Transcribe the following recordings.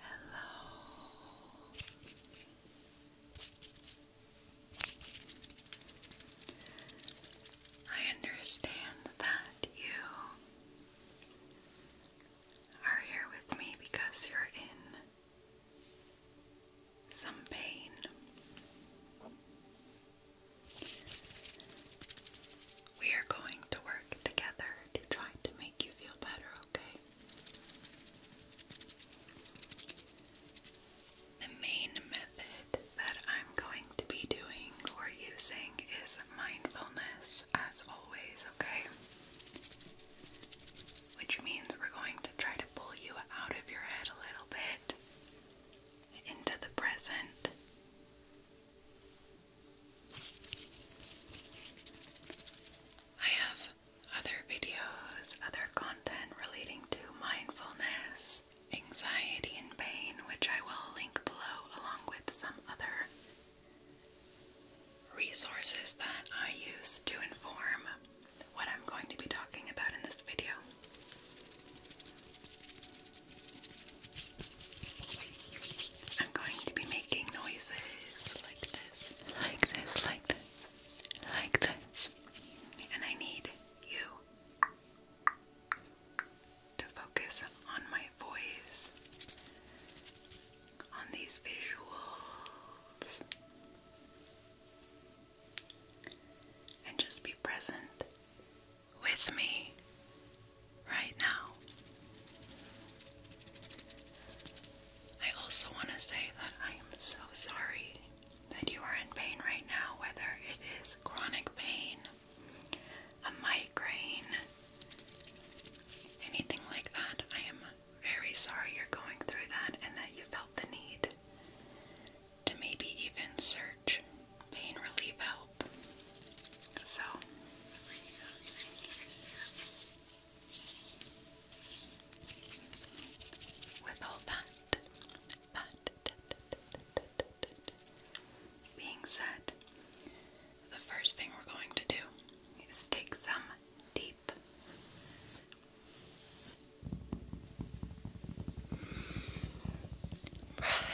Hello. I understand that you are here with me because you're in some pain. We are going to work together to try to make you feel better, okay? The main method that I'm going to be doing or using is mindfulness, as always, okay? Which means we're going to try to pull you out of your head a little bit into the present. I have other videos, other content relating to mindfulness, anxiety, and pain, which I will link below along with some other resources that I use to inform what I'm going to be talking about in this video. I'm going to be making noises like this, like this, like this, like this. And I need you to focus on my voice, on these visuals, and just be present with me right now. I also want to say that I am so sorry that you are in pain right now, whether it is chronic pain, a migraine, anything like that. I am very sorry you're going through that and that you felt the need to maybe even search pain relief help. So with all that, being said, the first thing we're going to do is take some deep breaths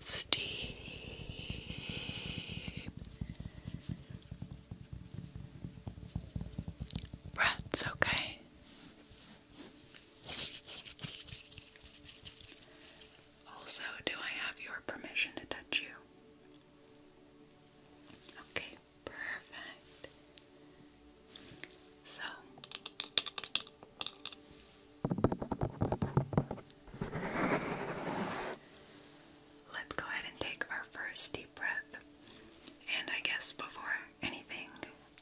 steep breaths, okay? Also, do I have your permission to touch you? Okay, perfect. So, Let's go ahead and take our first deep breath. And I guess before anything,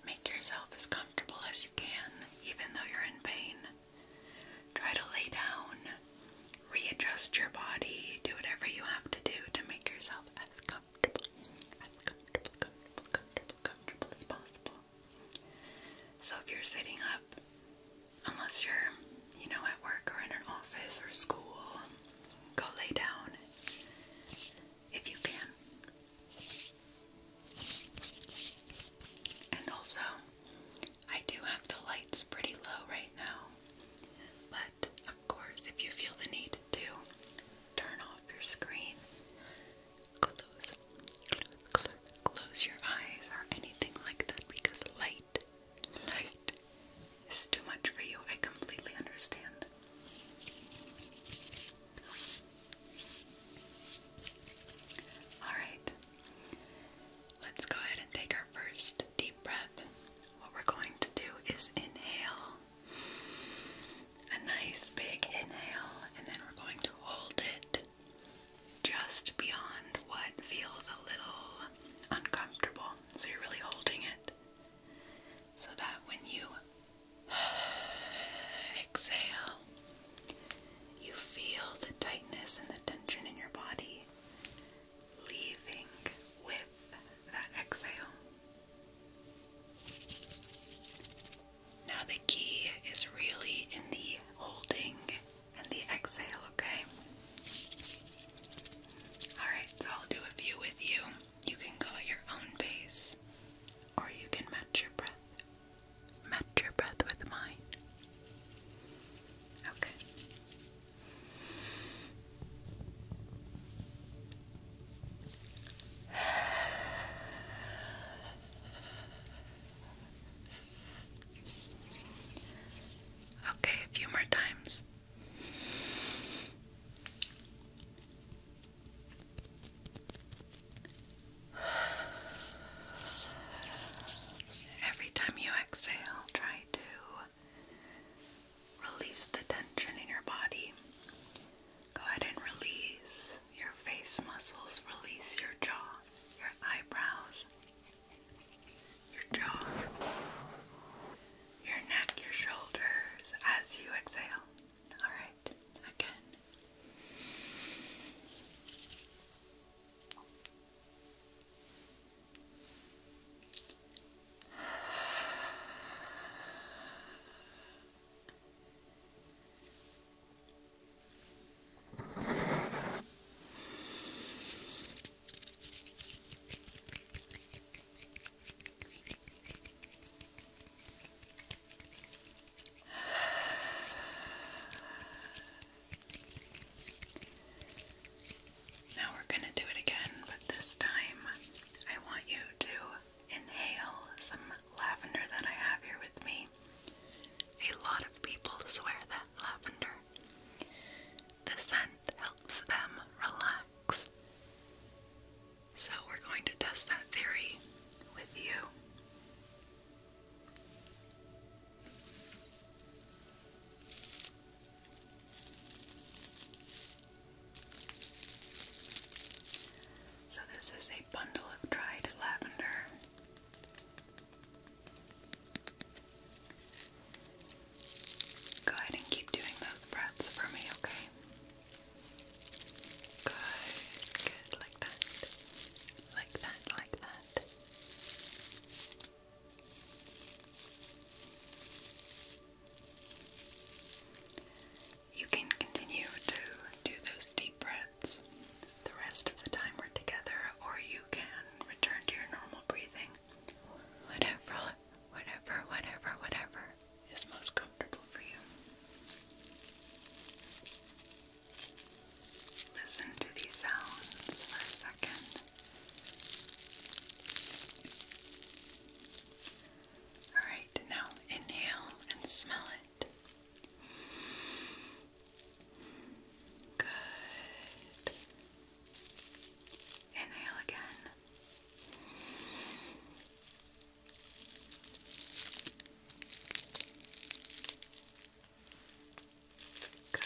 make yourself as comfortable as you can, even though you're in pain. Try to lay down, readjust your body, do whatever you have to do to make yourself as comfortable, as comfortable, comfortable, comfortable, comfortable as possible. So if you're sitting up, unless you're, you know, at work or in an office or school, go lay down if you can. And also, I do have the lights pretty low right now, but of course, if you feel the need to turn off your screen, close close, your eyes or anything like that because light, light is too much for you. I completely understand. Alright, let's go ahead and take our first deep breath. What we're going to do is inhale, a nice big inhale, and then we're going to hold it just beyond what feels a little uncomfortable. So you're really holding it so that when you exhale, you feel the tightness and the tension in your body leaving with that exhale. Now, the key is really in the holding and the exhale, okay? Alright, so I'll do a few with you. You can go at your own pace, or you can match your breath. Match your breath with mine. Okay. Okay, a few more times. Every time you exhale, try to release the tension in your body. Go ahead and release your face muscles, release your jaw, your eyebrows, your jaw, your neck, your shoulders as you exhale. All right, again. Now we're going to do it again, but this time I want you to inhale some lavender that I have here with me. A lot of people swear that lavender. The scent helps them relax. So, we're going to test that theory with you. So, this is a bundle of dried lavender. Go ahead and keep doing those breaths for me, okay? Good, good, like that. Like that, like that. You can continue to do those deep breaths the rest of the time we're together, or you can return to your normal breathing. Whatever, whatever, whatever, whatever is most comfortable for you. Listen to these sounds for a second. Alright, now inhale and smell it. Good. Inhale again. Good.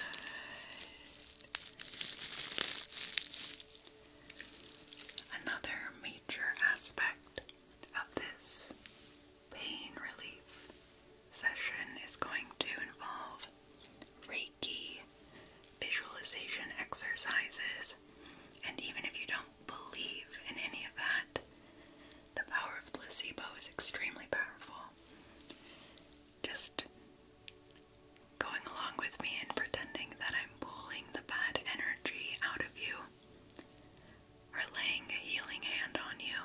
Another major aspect of this pain relief session is going to involve Reiki, visualization exercises, and even if you don't believe in any of that, the power of placebo is extremely powerful. Just going along with me and pretending that I'm pulling the bad energy out of you, or laying a healing hand on you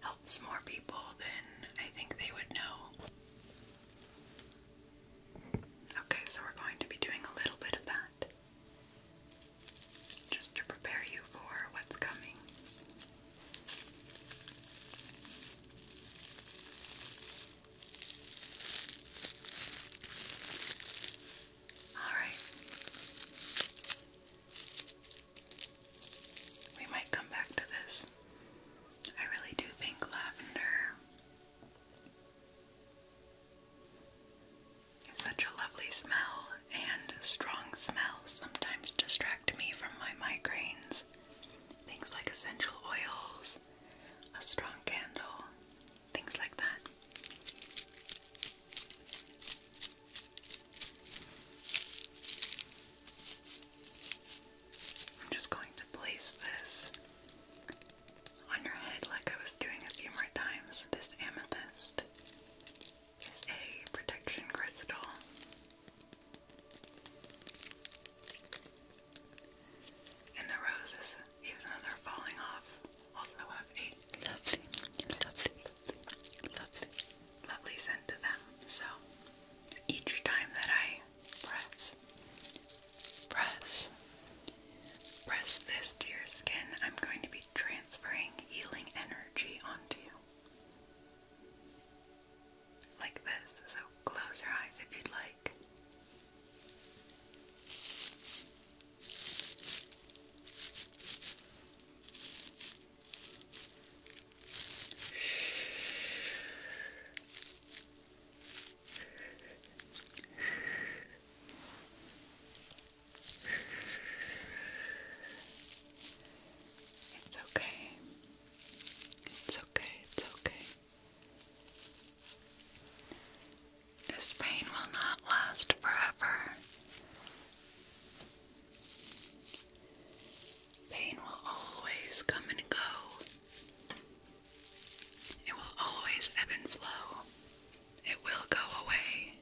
helps more people than I think they would know. Okay, so we're going to be doing a little bit of that just to prepare you for what's coming. All right. We might come back to this. I really do think lavender is such a lovely smell, and strong smells sometimes distract me from my migraines. Things like essential oils, a strong candle, things like that. I'm just going to place this on your head like I was doing a few more times. This amethyst is a protection crystal. And the roses, even though they're falling off, also have a lovely, lovely, lovely, lovely scent to them. So each time that I press, press, press this to your skin, I'm going to be transferring healing energy onto you. Like this. So close your eyes if you'd like. It's okay. It's okay. It's okay. This pain will not last forever. Pain will always come and go. It will always ebb and flow. It will go away.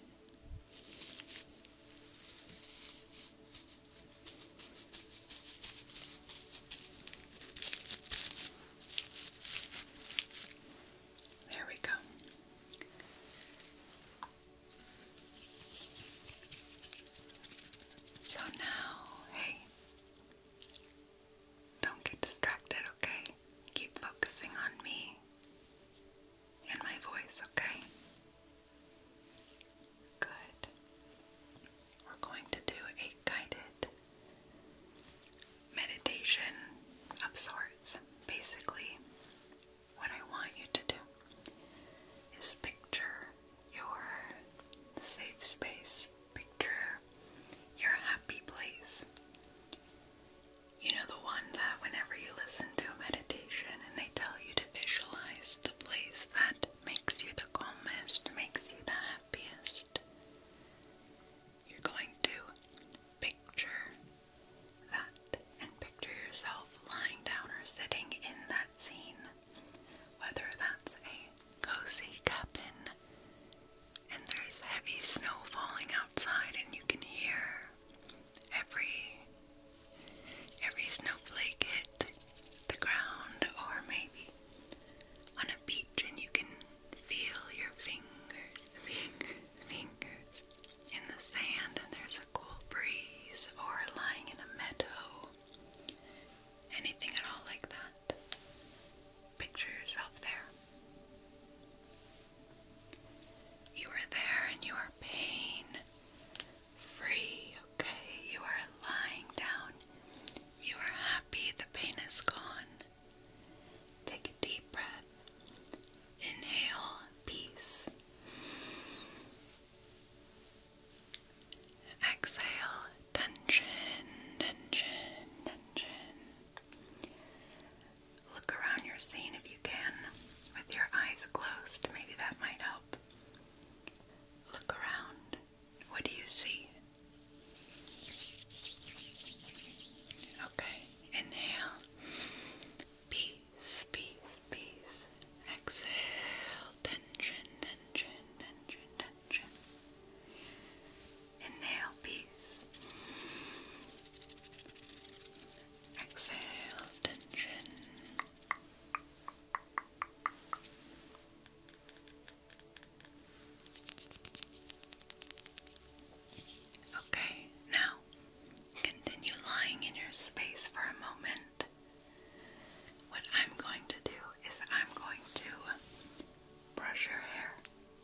There we go. So now, hey, don't get distracted, okay? Keep focusing on me and my voice, okay? Good. We're going to do a guided meditation of sorts. Basically, what I want you to do is picture your safe space, picture your happy place. You know, the one that whenever you listen to a meditation and they tell you to visualize the place that makes you the calmest, makes you the happiest, you're going to picture that and picture yourself lying down or sitting in that scene. Whether that's a cozy cabin and there's heavy snow falling outside and you can hear every every snowflake hit the ground or maybe on a beach and you can feel your fingers, fingers, fingers in the sand and there's a cool breeze or lying in a meadow Anything at all like that. Picture yourself there. You are there and you are pain free, okay? You are lying down. You are happy, the pain is gone. Take a deep breath. Inhale peace. Exhale, tension, tension, tension. Look around your scene if you can with your eyes closed. Maybe that might help. Look around. What do you see? Okay, inhale. Peace, peace, Exhale, tension, tension, tension, tension. Inhale, peace. Exhale, tension. Okay, now continue lying in your space for a moment. What I'm going to do is I'm going to brush your hair,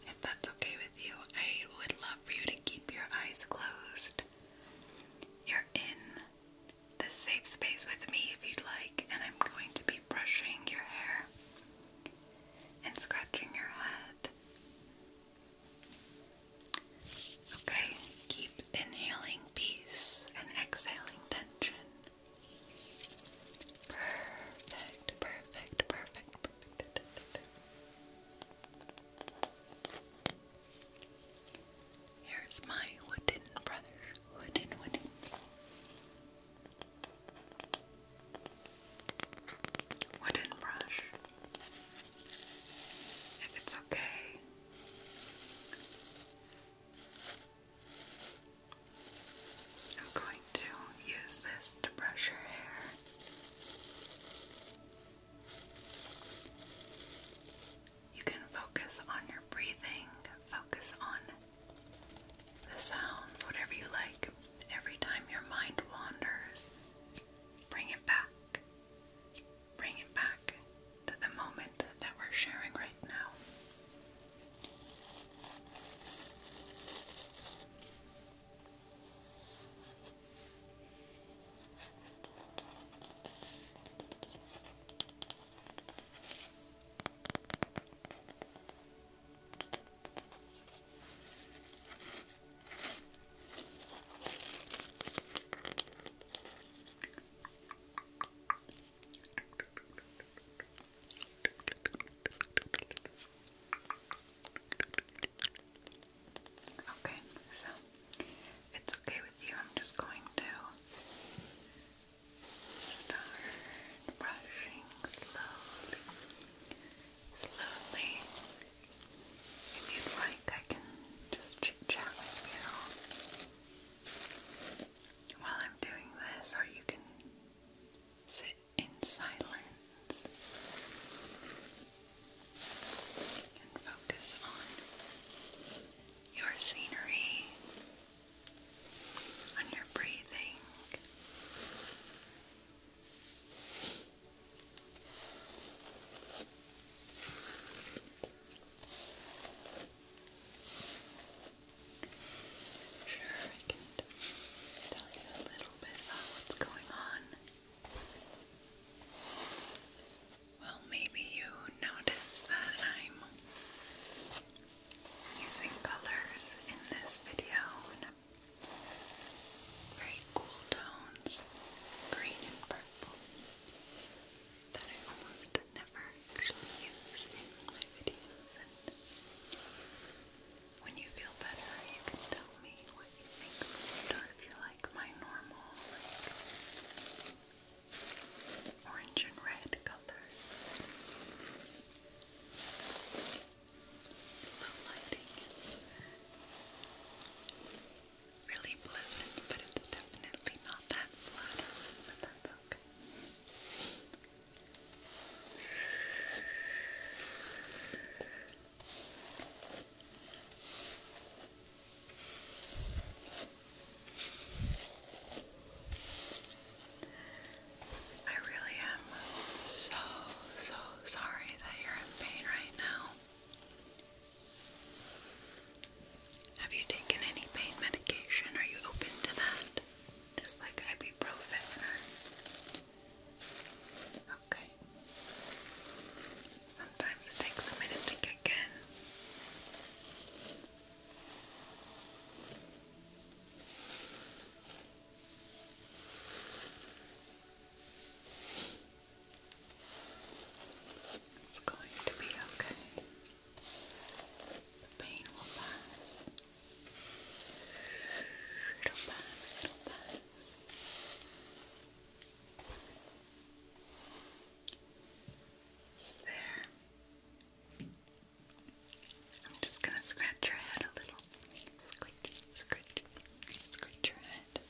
if that's okay with you. I would love for you to keep your eyes closed. You're in this safe space with me if you'd like, and I'm going to be brushing your hair and scratching your head. Okay, keep inhaling peace and exhaling tension. Perfect, perfect, perfect, perfect. Here's my wooden brush. Wooden, wooden. Wooden brush. If it's okay. I'm going to use this to brush your hair. You can focus on your breathing, focus on the sounds, whatever you like. Every time your mind wanders, bring it back. Bring it back to the moment that we're sharing right now. Okay, so it's okay with you, I'm just going to start brushing slowly. Slowly. If you'd like, I can just chit chat with you while I'm doing this, or you can sit in silence and focus on your scenery, on your breathing. Sure, I can tell you a little bit about what's going on. Well, maybe you notice that I'm using colors in this video and very cool tones, green and purple, that I almost but never actually use my videos. when you feel better, you can tell me what you think or if you like my normal, orange and red colors. The lighting is really pleasant, but it's definitely not that flattering, but that's okay. I really am so, so sorry that you're in pain right now. Have you taken any pain medication? Are you open to that? Just like ibuprofen. Okay. Sometimes it takes a minute to kick in. It's going to be okay. The pain will pass. It'll pass, it'll pass. There. I'm just going to scratch your head a little. Scratch, scratch, scratch your head.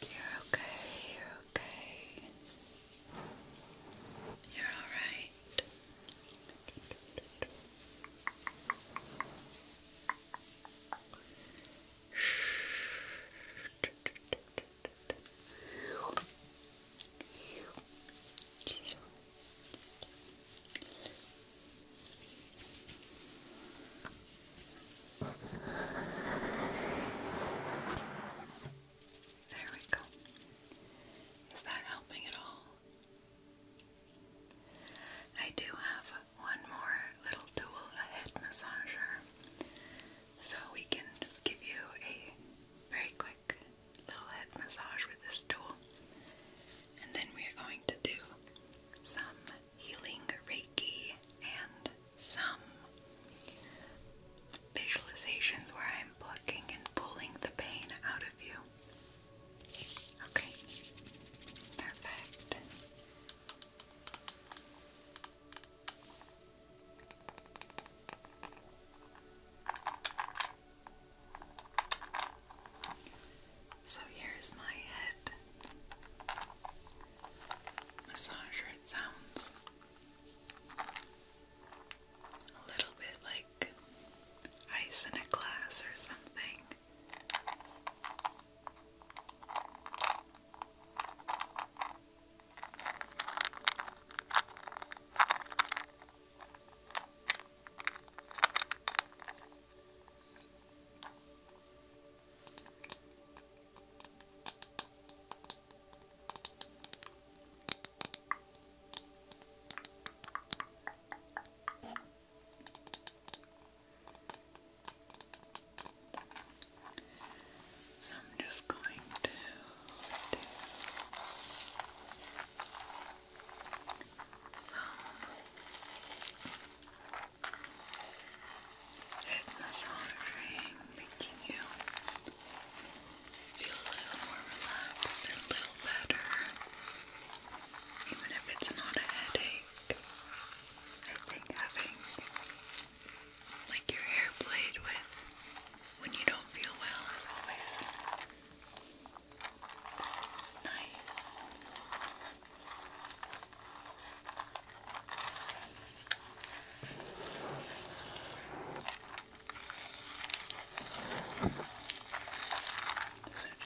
You're okay, you're okay. You're alright. There we go. Is that helping at all? I do have one more little tool, a head massager, so we can just give you a very quick little head massage with this tool. And then we are going to do some healing Reiki and some visualizations where I'm plucking and pulling the pain out of you. Okay, perfect. So here's my head massager, it sounds a little bit like ice in a glass or something. So I'm just going to so fitness monitoring making you feel a little more relaxed a little better. Even if it's not a headache. I think having like your hair played with when you don't feel well is always Nice. So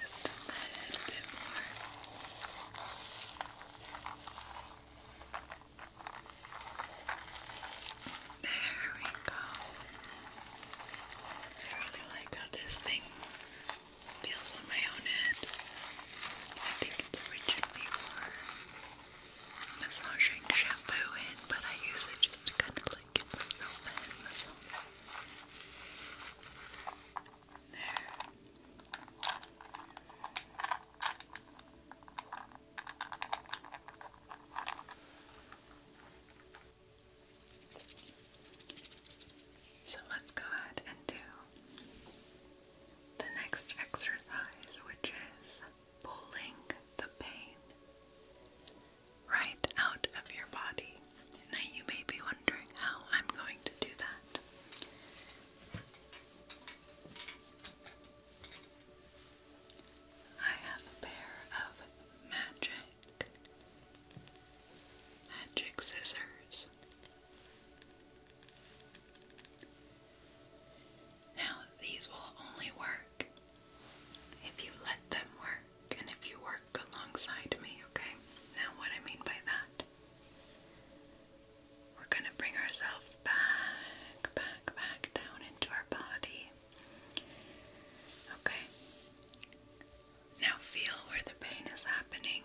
just a little bit more. There we go. I really like this thing feels on my own head. I think it's originally for massaging shampoo in, but I use it just to kind of like give myself a There. So let's go ahead and do the next exercise, which is pulling the pain right out of your body. Now, you may be wondering how I'm going to do that. I have a pair of magic Magic scissors. Now, these will only work if you let them work and if you work alongside me, okay? Now, what I mean by that, we're going to bring ourselves back, back, back down into our body. Okay? Now feel where the pain is happening,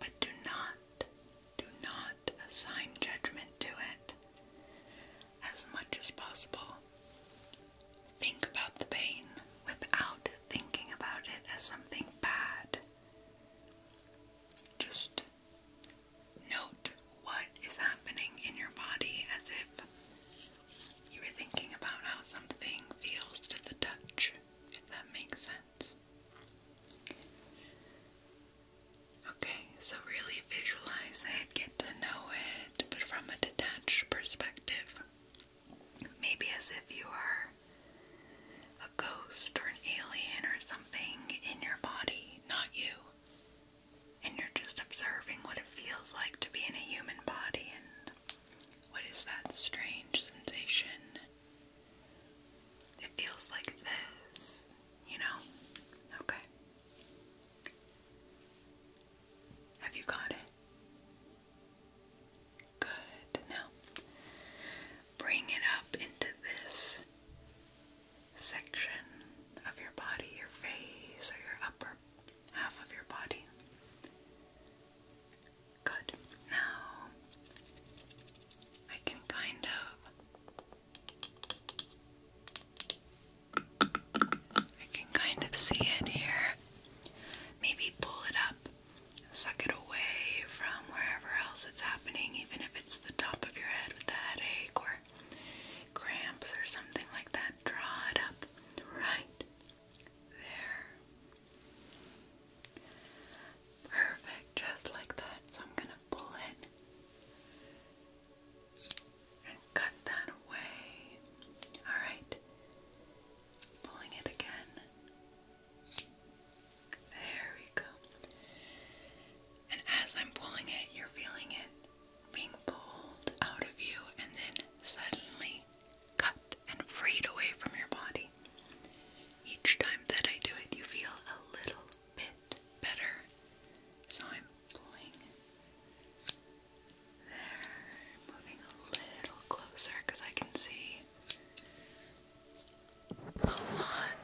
but do not, do not assign judgment to it. As much as possible, think about the pain without thinking about it as something bad. Just note what is happening in your body as if you were thinking about how something feels to the touch, if that makes sense. Okay, so really visualize it, get to know it, but from a detached perspective. Maybe as if you are a ghost or an alien or something in your body, not you. And you're just observing what it feels like to be in a human body and what is that strange sensation? It feels like this, you know? Okay. Have you got it? Good. Now, bring it up into this section of your body, your face, or your upper half of your body. Good. Now I can kind of I can kind of see it here. Maybe pull it up, suck it away from wherever else it's happening, even if it's the top of your head with a headache or cramps or something like that. Draw it up right there. Perfect, just like that. So I'm going to pull it and cut that away. Alright, pulling it again. There we go. And as I'm pulling it, you're feeling it being pulled out of you and then suddenly cut and freed away from your body. Each time that I do it, you feel a little bit better. So I'm pulling. There, moving a little closer because I can see a lot.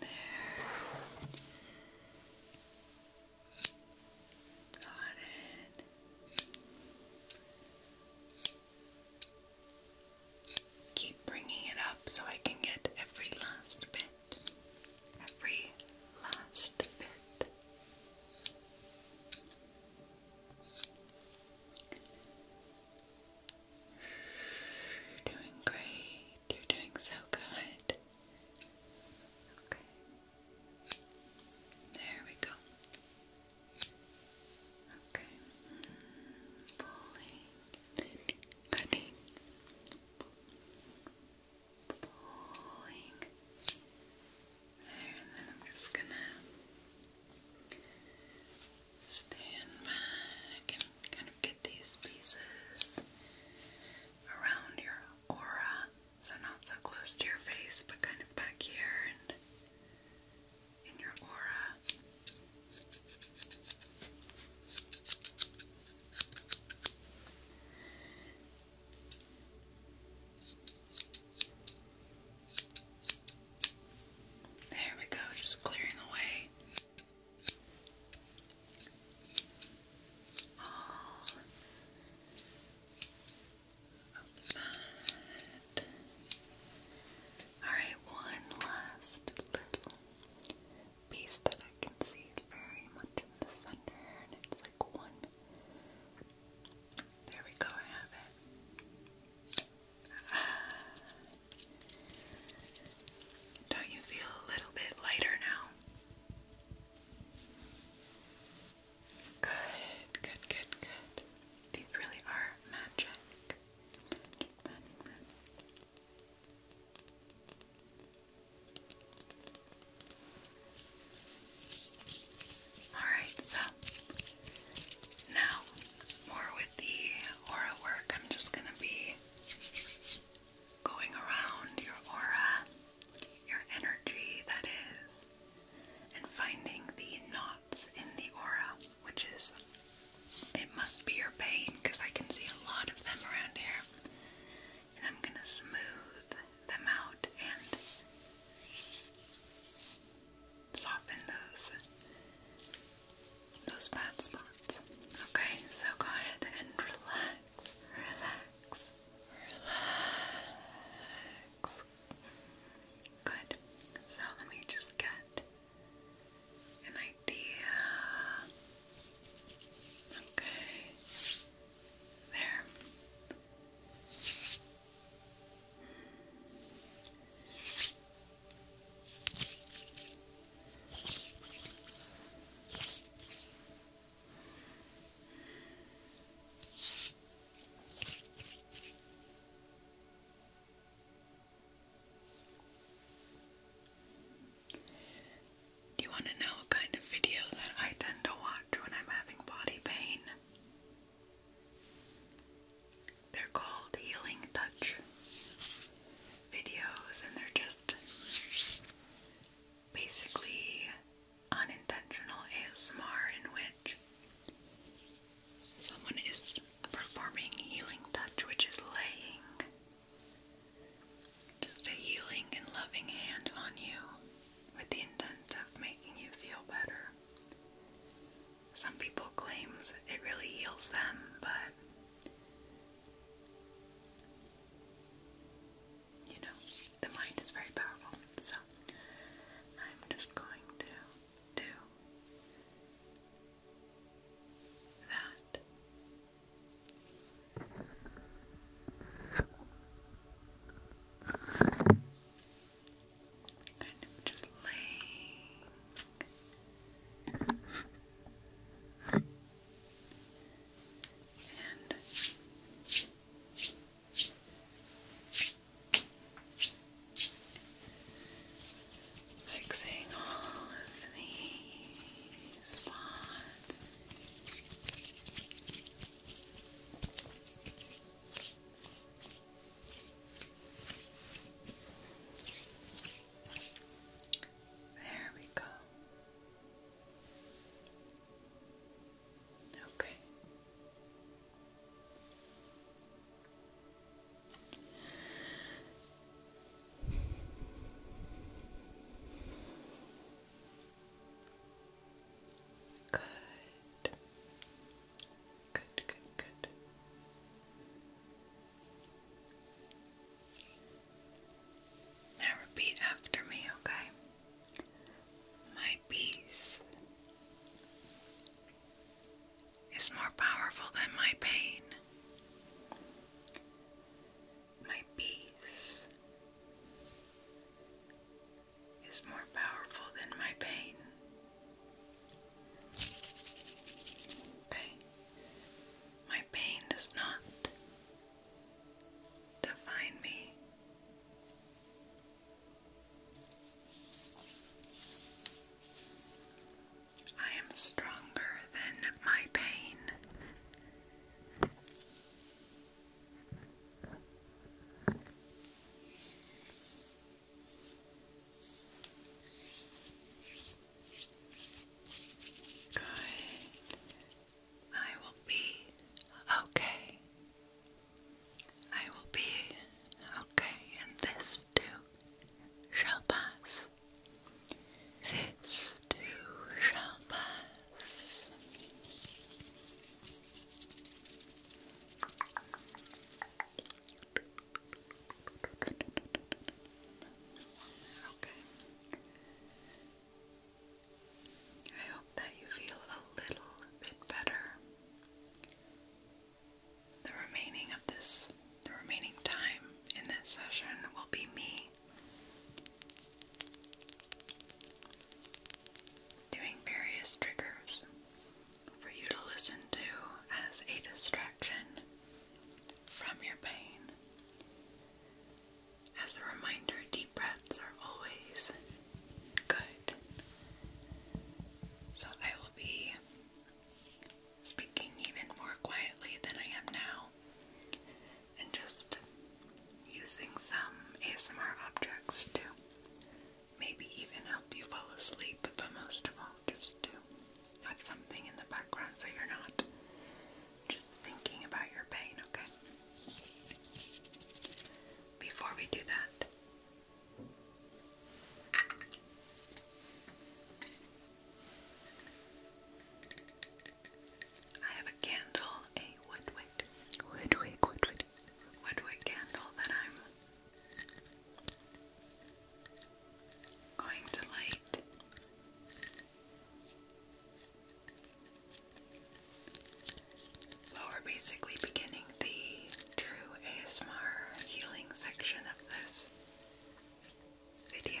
There. Got it. Keep bringing it up so I can get every last bit. Every last bit. You're doing great. You're doing so good. Okay. There we go. Okay. Pulling, cutting, pulling. There, and then I'm just gonna stand back and kind of get these pieces around your aura. So, not so close to your face, but kind of back here in your aura. There we go, just clearing away that. Alright, one last little piece that I can see very much in the center, and it's like one. There we go, I have it. Don't you feel a little bit lighter now? Good, good, good, good. These really are magic. Alright, so now more with the aura work, I'm just going to be going around your aura, your energy, that is, and finding the knots in the aura, which is, it must be your pain because I can see a lot of them around here. And I'm gonna smooth them out and soften those those bad spots. Okay, so go ahead and relax, relax, relax relax. Good. So let me just get an idea. Okay. There. Do you want to know what kind of video that I tend to watch when I'm having body pain? They're called healing touch videos, and they're just basically unintentional ASMR in which Someone is performing healing touch, which is laying just a healing and loving hand on you with the intent of making you feel better. Some people claims it really heals them, but you know, the mind is very powerful. So I'm just going to do that. Kind of just laying and Fixing all of these spots. There we go. Okay. Good. Good, good, good. Now repeat after me, okay? My peace is more powerful than my pain. My peace is more powerful than my pain. Okay. My pain does not define me. I am stronger than my pain. Good. I will be okay. I will be okay in this this shall pass. This too shall pass. Okay. I hope that you feel a little bit better. The remaining of this, the remaining time in this session will be me doing various triggers for you to listen to as a distraction from your pain. As a reminder, deep breaths are always good. So I will be speaking even more quietly than I am now, and just using some ASMR objects to maybe even help you fall asleep, but most of all, just to have something in the background so you're not just thinking about your pain, okay? Before we do that, I have a candle, a woodwick, woodwick, woodwick, woodwick candle that I'm going to light. Well, we're basically beginning the true ASMR healing section of this this video.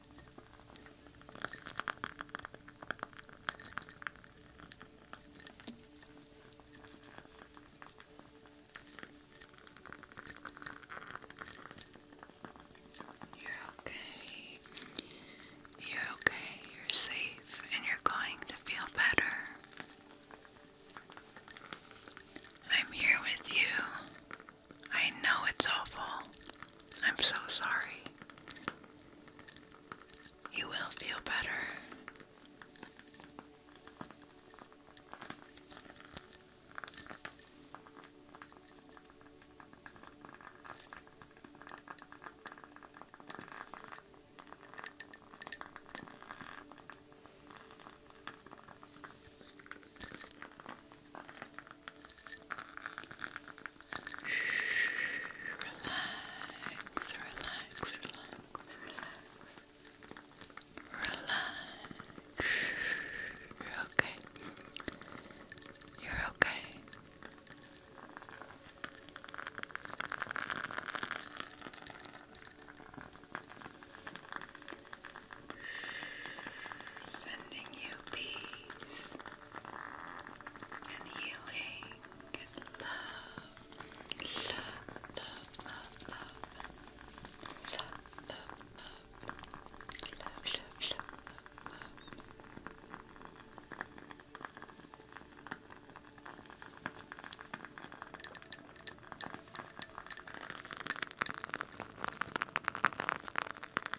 You're okay. You're okay. You're safe and you're going to feel better. I'm here with you. I know it's awful. I'm so sorry. You will feel better. Relax, relax, relax, relax. Relax. You're okay. You're okay. Sending you peace and healing love, love, love, love, love, love, love, love, love.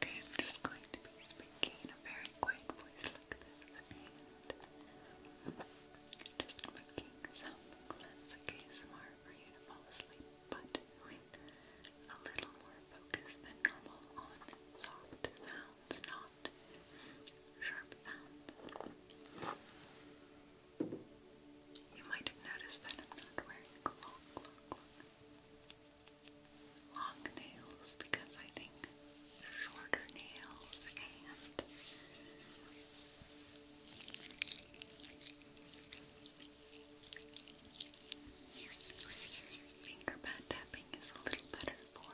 Okay, I'm just going to be speaking in a very quiet voice like this and just making some classic ASMR for you to fall asleep, but a little more focus than normal on soft sounds, not sharp sounds. You might have noticed that I'm not wearing a long, long nails because I think shorter nails and finger pad tapping is a little better for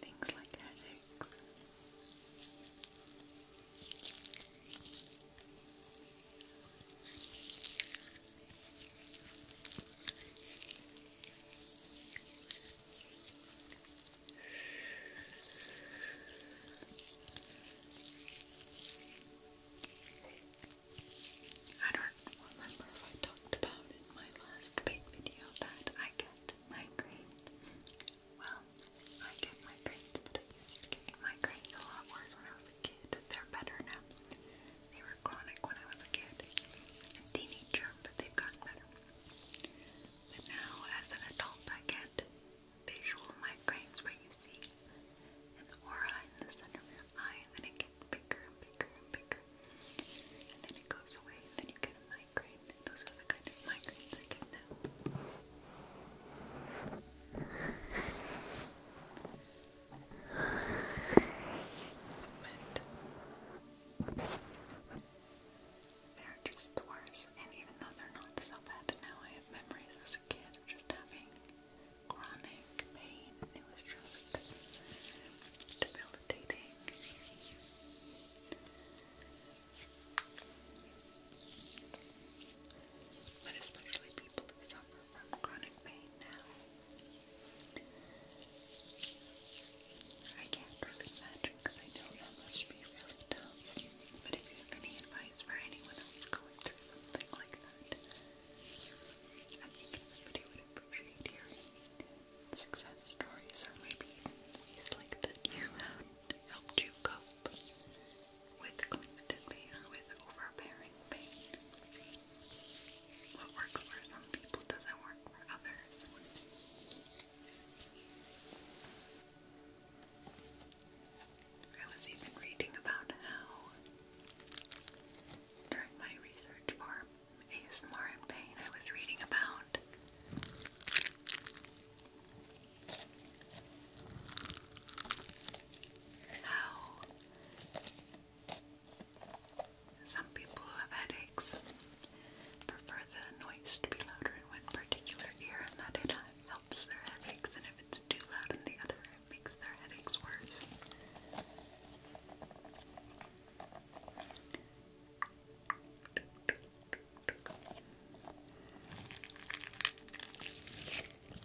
things like headaches. I don't remember if I talked about in my last big video that I get migraines. Well, I get migraines, but I get migraines a lot worse when I was a kid. They're better now. They were chronic when I was a kid teenager, but they've gotten better. But now, as an adult, I get visual migraines where you see an aura in the center of your eye, and then it gets bigger and bigger and bigger, and then it goes away, and then you get a migraine. Those are the kind of migraines I get now. But they're just worse, and even though they're not so bad now, I have memories as a kid just having chronic pain. It was just debilitating. But especially people who suffer from chronic pain now. I can't really imagine because I know that must be really tough. But if you have any advice for anyone else going through something like that, I think somebody would appreciate hearing success stories or maybe ways like that you have helped you cope with constant pain with overbearing suffering pain. What works for some people doesn't work for others. I was even reading about how, during my research for ASMR and pain, I was reading about how some people who have headaches prefer the noise to be louder in one particular ear, and that it helps their headaches, and if it's too loud in the other, it makes their headaches worse.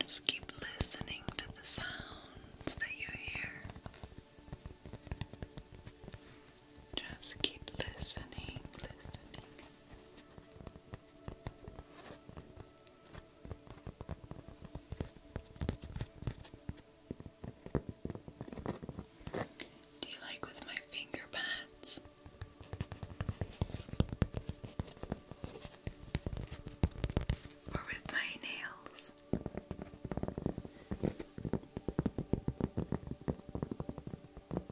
Just keep listening to the sounds that you hear. Just keep listening, listening. Do you like with my finger pads? Or with my nails?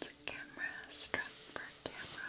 It's a camera strap for a camera.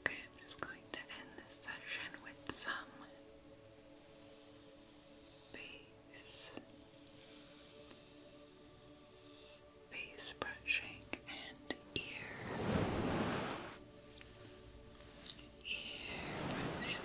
Okay, I'm just going to end this session with some base, base brushing and ear, ear brushing,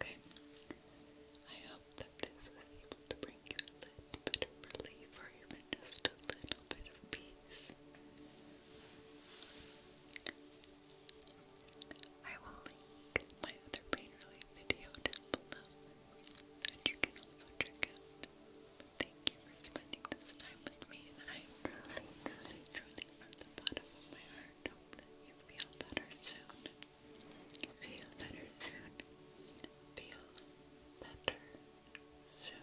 Okay. I hope that this was able to bring you a little bit of relief or even just a little bit of peace. I will link my other pain relief video down below that you can also check out. thank you for spending this time with me and I truly, truly, truly from the bottom of my heart hope that you feel better soon. Feel better soon. Feel better soon.